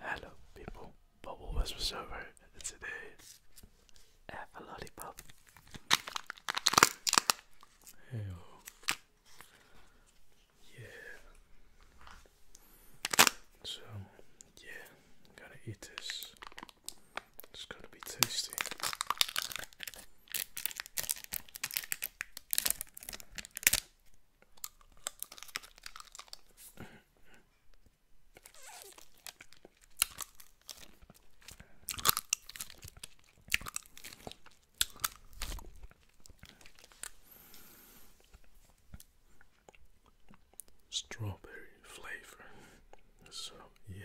Hello people, Bubble West was over and today a lollipop. Hey Yeah. So yeah, gonna eat this. It's gonna be tasty. Strawberry flavor. So, yeah.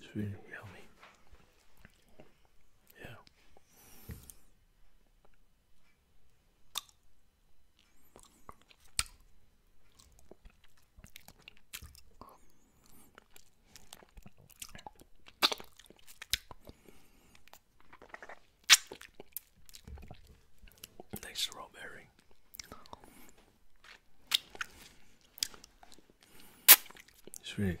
It's really yummy. Yeah. Nice strawberry. It's really good.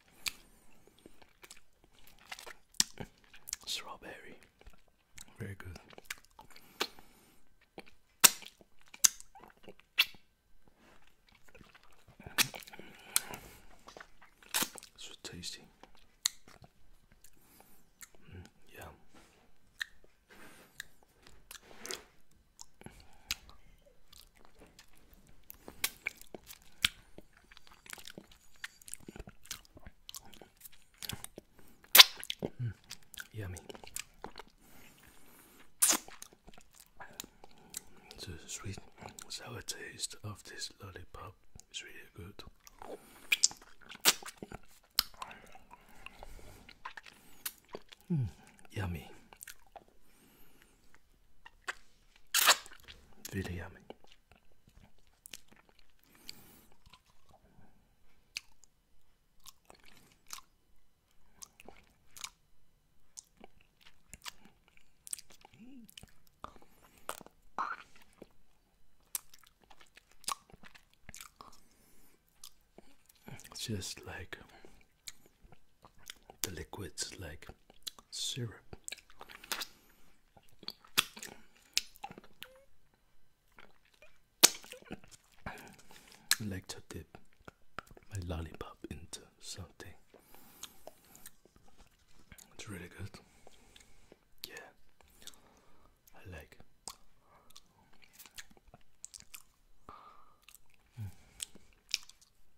Strawberry. Very good. So tasty. Mm, yeah. Mm, yummy. The sweet sour taste of this lollipop is really good. Mm, yummy. Really yummy. It's just like the liquids like syrup. I like to dip my lollipop into something. It's really good. Yeah, I like.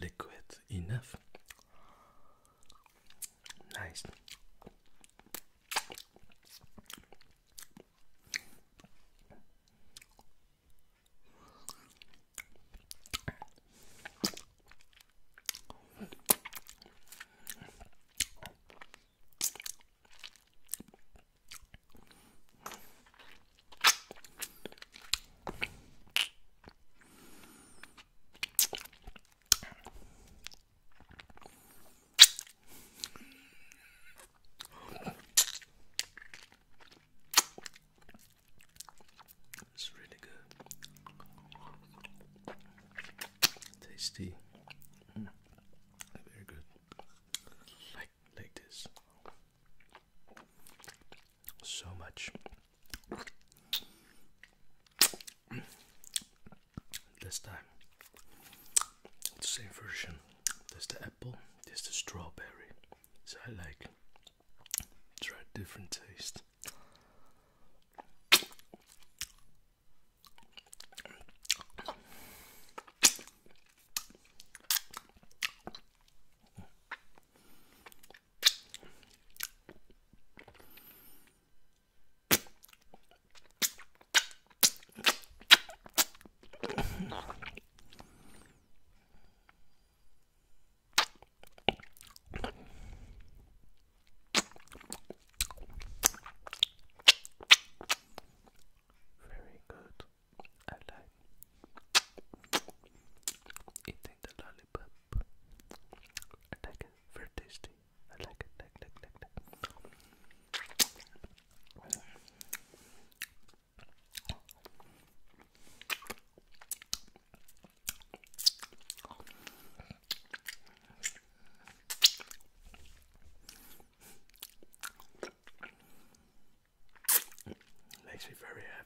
liquid enough. Nice. It's really good. Tasty. Mm. Very good. Like like this. So much this time, the same version. There's the apple, there's the strawberry. So I like try different taste. Very good. I like eating the lollipop. I like it, very tasty. I like it, like, like, like, like. Makes me very happy.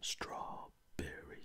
Strawberry.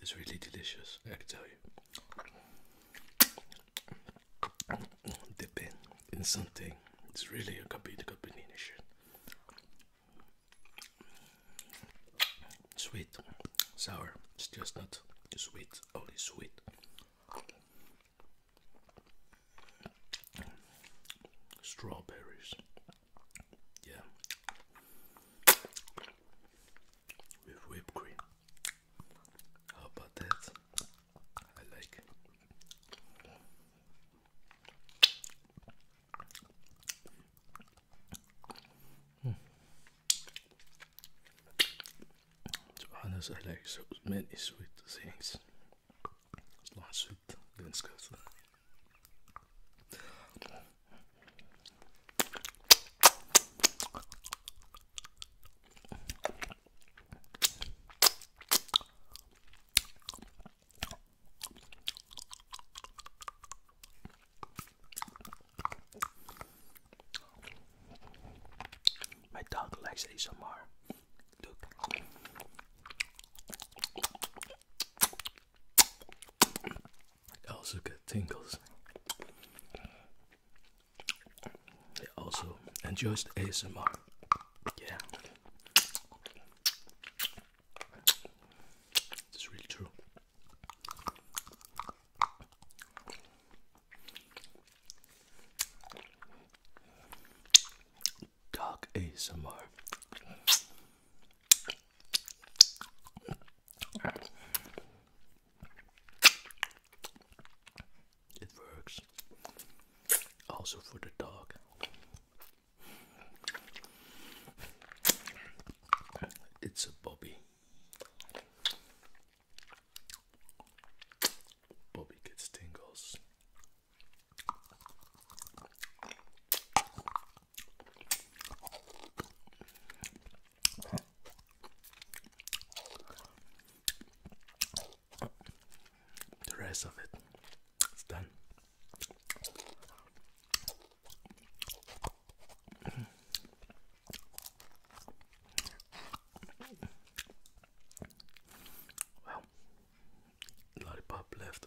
It's really delicious, I can tell you. Dipping in something, it's really a complete combination. Sweet, sour, it's just not sweet, only sweet. Strawberries, yeah, with whipped cream. How about that? I like it. Hmm. I like so many sweet things. It's not sweet, then it's good. My dog likes ASMR. Look. I also get tingles. They also enjoy the ASMR. Yeah. It's really true. Dog ASMR. It works. Also for the dog. It's a Bobby. Bobby gets tingles. The rest of it, it is done. Well, lollipop left.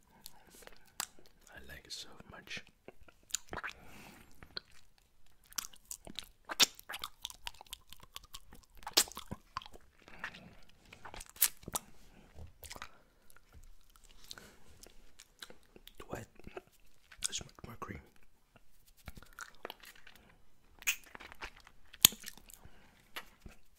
I like it so much. What? There's much more cream.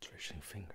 Tracing finger.